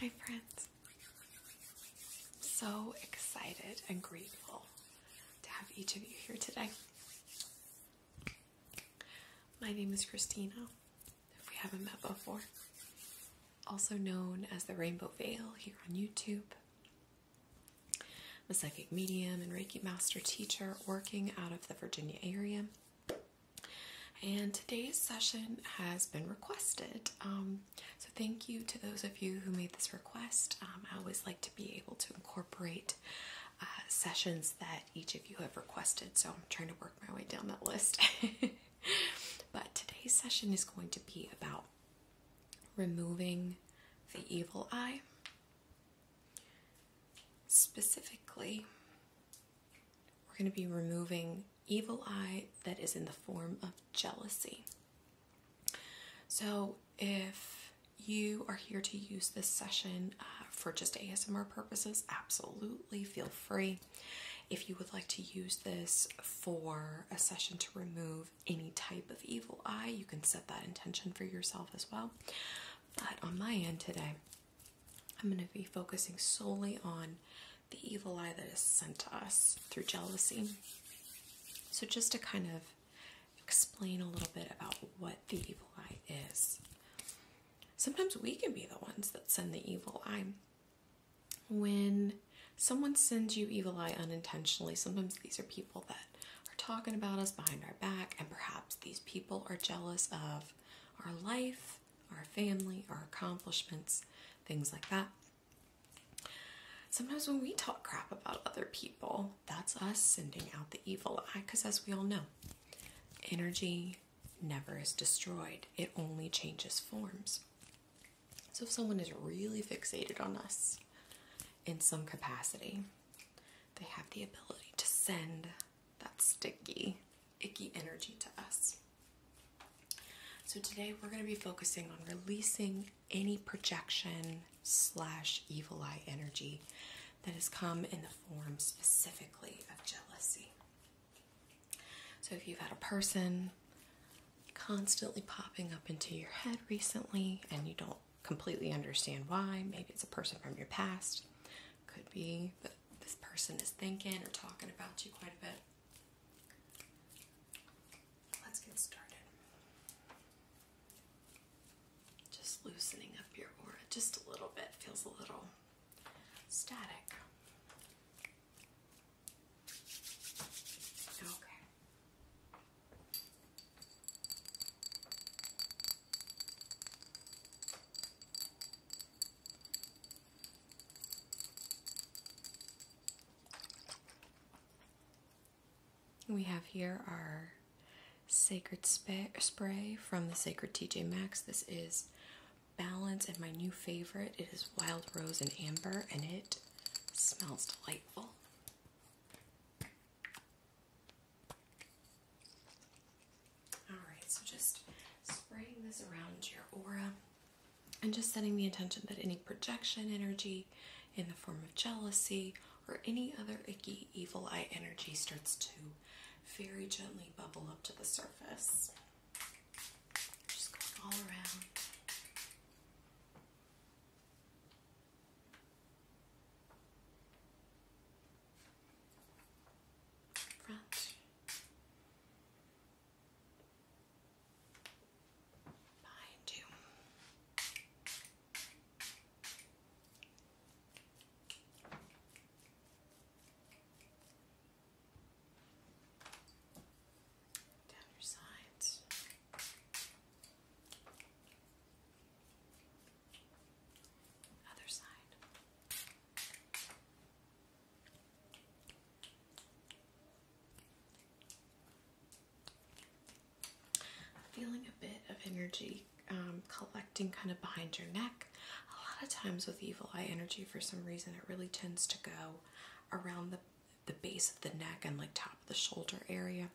Hi, friends. I'm so excited and grateful to have each of you here today. My name is Christina, if we haven't met before, also known as the Rainbow Veil here on YouTube. I'm a psychic medium and Reiki master teacher working out of the Virginia area. And today's session has been requested. Um, so, thank you to those of you who made this request. Um, I always like to be able to incorporate uh, sessions that each of you have requested, so I'm trying to work my way down that list. but today's session is going to be about removing the evil eye, specifically we're going to be removing evil eye that is in the form of jealousy. So if you are here to use this session uh, for just ASMR purposes, absolutely feel free. If you would like to use this for a session to remove any type of evil eye, you can set that intention for yourself as well. But on my end today, I'm going to be focusing solely on the evil eye that is sent to us through jealousy. So, just to kind of explain a little bit about what the evil eye is. Sometimes we can be the ones that send the evil eye. When someone sends you evil eye unintentionally, sometimes these are people that are talking about us behind our back, and perhaps these people are jealous of our life, our family, our accomplishments, things like that. Sometimes when we talk crap about other people, that's us sending out the evil eye because, as we all know, energy never is destroyed, it only changes forms. So, if someone is really fixated on us in some capacity, they have the ability to send that sticky, icky energy to us. So today we're going to be focusing on releasing any projection slash evil eye energy that has come in the form specifically of jealousy. So if you've had a person constantly popping up into your head recently and you don't completely understand why, maybe it's a person from your past, could be that this person is thinking or talking about you quite a bit. Let's get started. Just loosening up your aura just a little bit, feels a little static. Okay. We have here our Sacred Spray from the Sacred TJ Maxx. This is Balance and my new favorite. It is Wild Rose and Amber and it smells delightful. Alright, so just spraying this around your aura and just setting the intention that any projection energy in the form of jealousy or any other icky evil eye energy starts to very gently bubble up to the surface. Just going all around front behind you down your sides. Other side. Feeling a bit of energy um, collecting kind of behind your neck. A lot of times with evil eye energy, for some reason, it really tends to go around the, the base of the neck and like top of the shoulder area.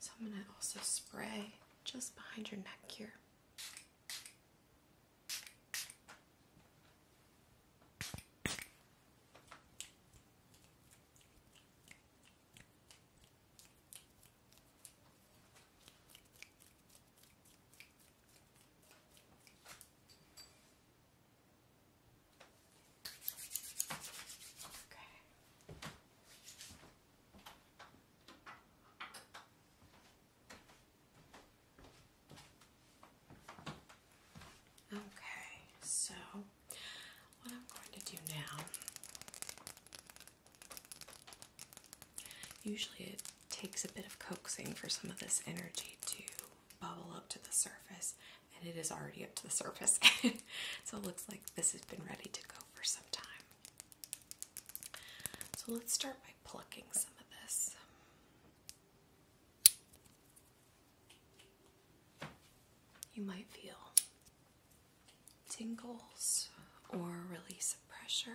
So I'm going to also spray just behind your neck here. Okay. Okay, so what I'm going to do now, usually it takes a bit of coaxing for some of this energy to bubble up to the surface, and it is already up to the surface. so it looks like this has been ready to go for some time. So let's start by plucking some of this. You might feel tingles or release of pressure.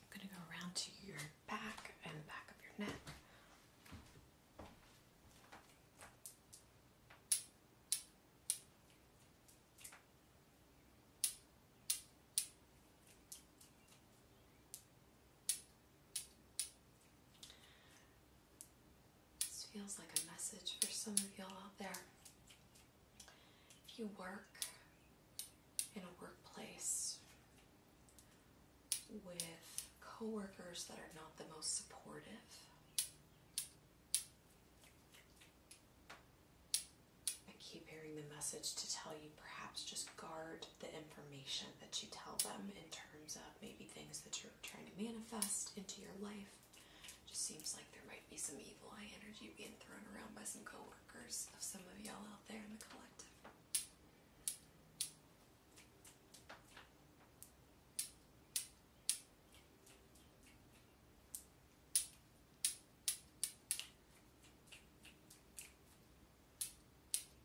I'm going to go around to your back and back of your neck. This feels like a message for some of y'all out there. If you work in a workplace with coworkers that are not the most supportive, I keep hearing the message to tell you perhaps just guard the information that you tell them in terms of maybe things that you're trying to manifest into your life. just seems like there might be some evil eye energy being thrown around by some coworkers of some of y'all out there in the collective.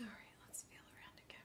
All right, let's feel around again.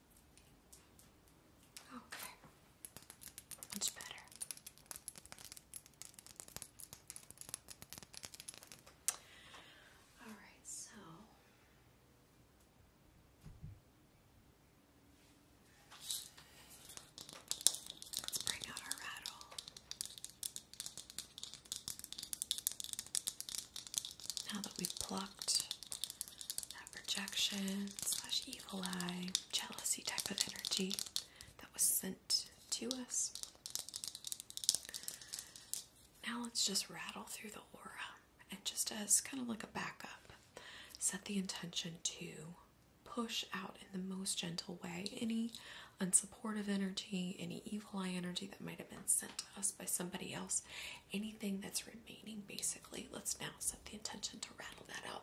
Okay, that's better. All right, so. Let's bring out our rattle. Now that we've plied that projection slash evil eye jealousy type of energy that was sent to us. Now let's just rattle through the aura and just as kind of like a backup, set the intention to push out in the most gentle way any unsupportive energy, any evil eye energy that might have been sent to us by somebody else, anything that's remaining basically. Let's now set the intention to rattle that out.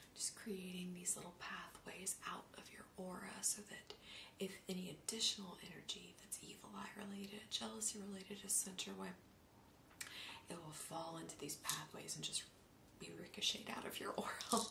just creating these little pathways out of your aura so that if any additional energy that's evil eye related, jealousy related is sent your way, it will fall into these pathways and just be ricocheted out of your aura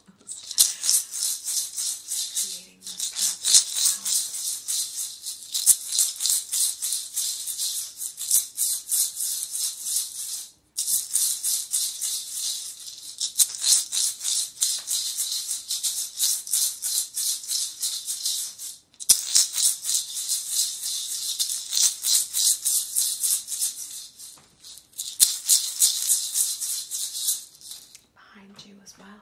Behind you as well.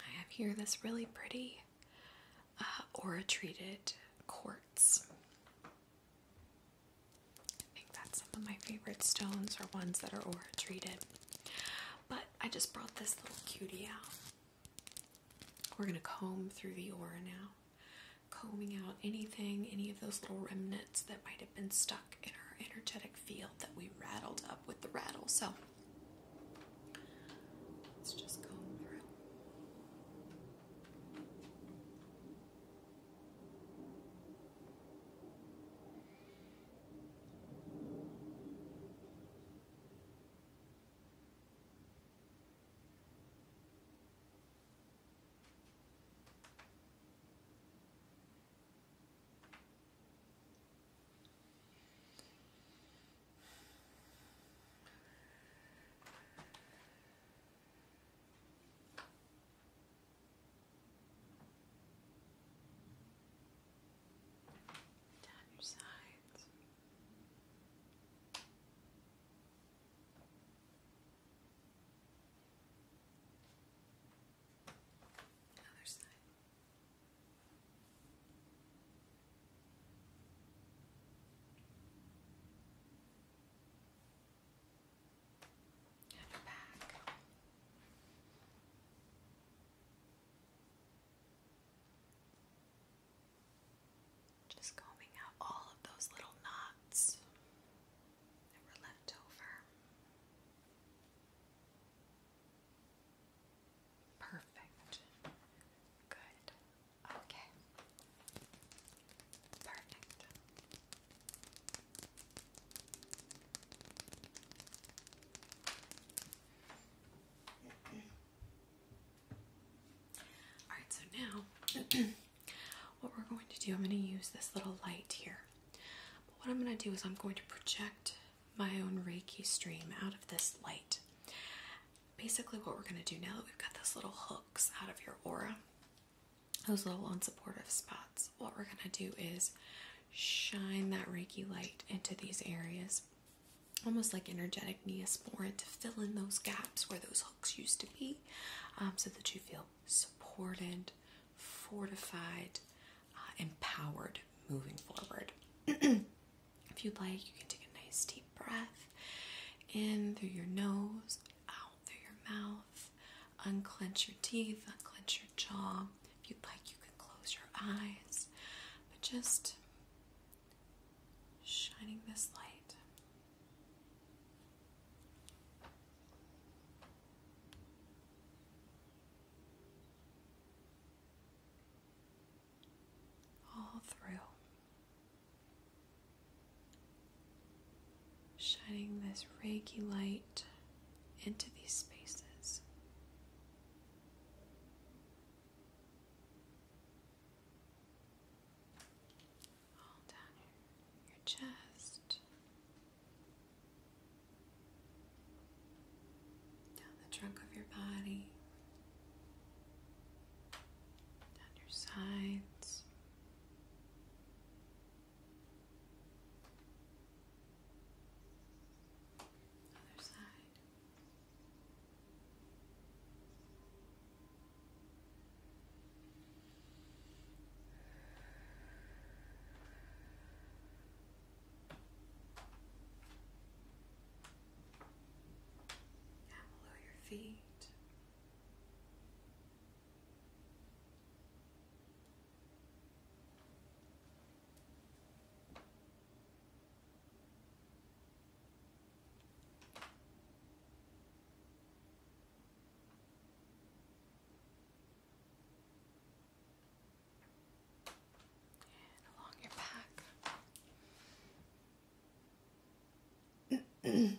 I have here this really pretty uh, aura treated quartz. I think that's some of my favorite stones are ones that are aura treated. But I just brought this little cutie out. We're gonna comb through the aura now, combing out anything, any of those little remnants that might have been stuck in our energetic field that we rattled up with the rattle. So Let's just comb through. Down your sides. Other side. And back. Just combing out all of those little knots that were left over. Perfect. Good. Okay. Perfect. Alright, so now what we're going to do, I'm going to use this little light here. what I'm going to do is I'm going to project my own Reiki stream out of this light. Basically, what we're going to do now that we've got those little hooks out of your aura, those little unsupportive spots, what we're going to do is shine that Reiki light into these areas, almost like energetic neosporin to fill in those gaps where those hooks used to be, um, so that you feel supported, fortified, uh, empowered moving forward. if you'd like, you can take a nice deep breath in through your nose, out through your mouth, unclench your teeth, unclench your jaw. If you'd like, you can close your eyes, but just shining this light all through, shining this Reiki light into these spaces. All down your chest, down the trunk of your body, down your sides. Other side. Down below your feet and along your back. Good.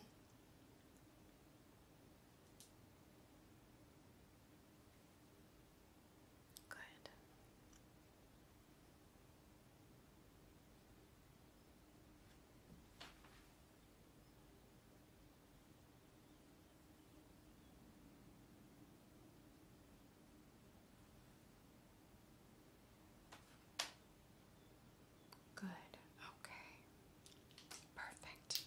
Good. Okay. Perfect.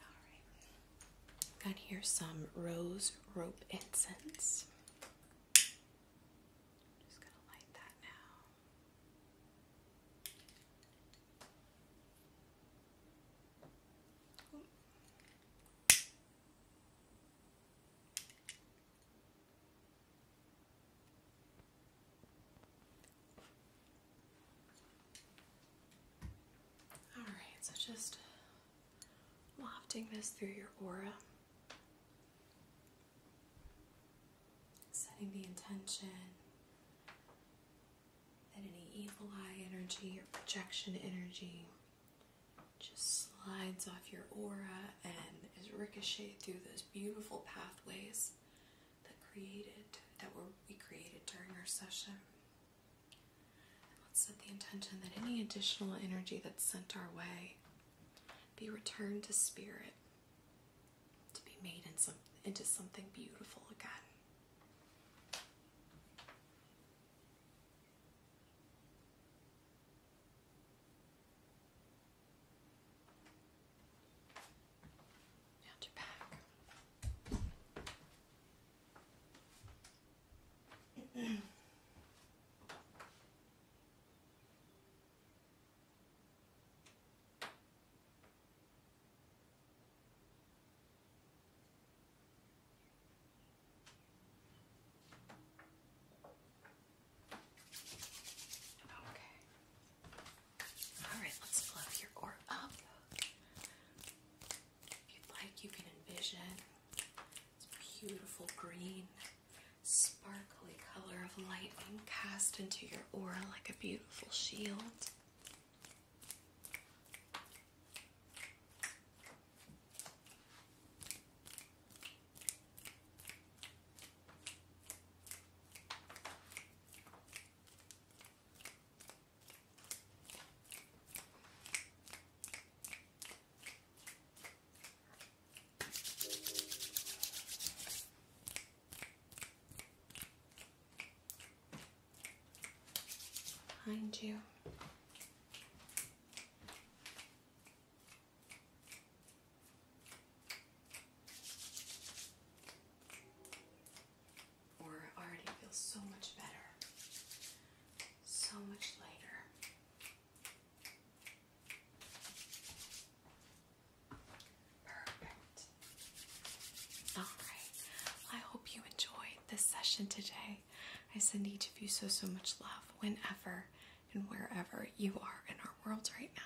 Alright. Got here some rose rope incense. Just gonna light that now. All right, so just wafting this through your aura, setting the intention that any evil eye energy or projection energy just slides off your aura and is ricocheted through those beautiful pathways that created that were we created during our session. And let's set the intention that any additional energy that's sent our way be returned to spirit to be made into something beautiful again. Now to back. Okay. Alright, let's fluff your aura up. If you'd like, you can envision this beautiful green, sparkly color of lightning cast into your aura like a beautiful shield. Behind you. Or already feels so much better, so much lighter. Perfect. All right. I hope you enjoyed this session today. I send each of you so, so much love whenever and wherever you are in our world right now.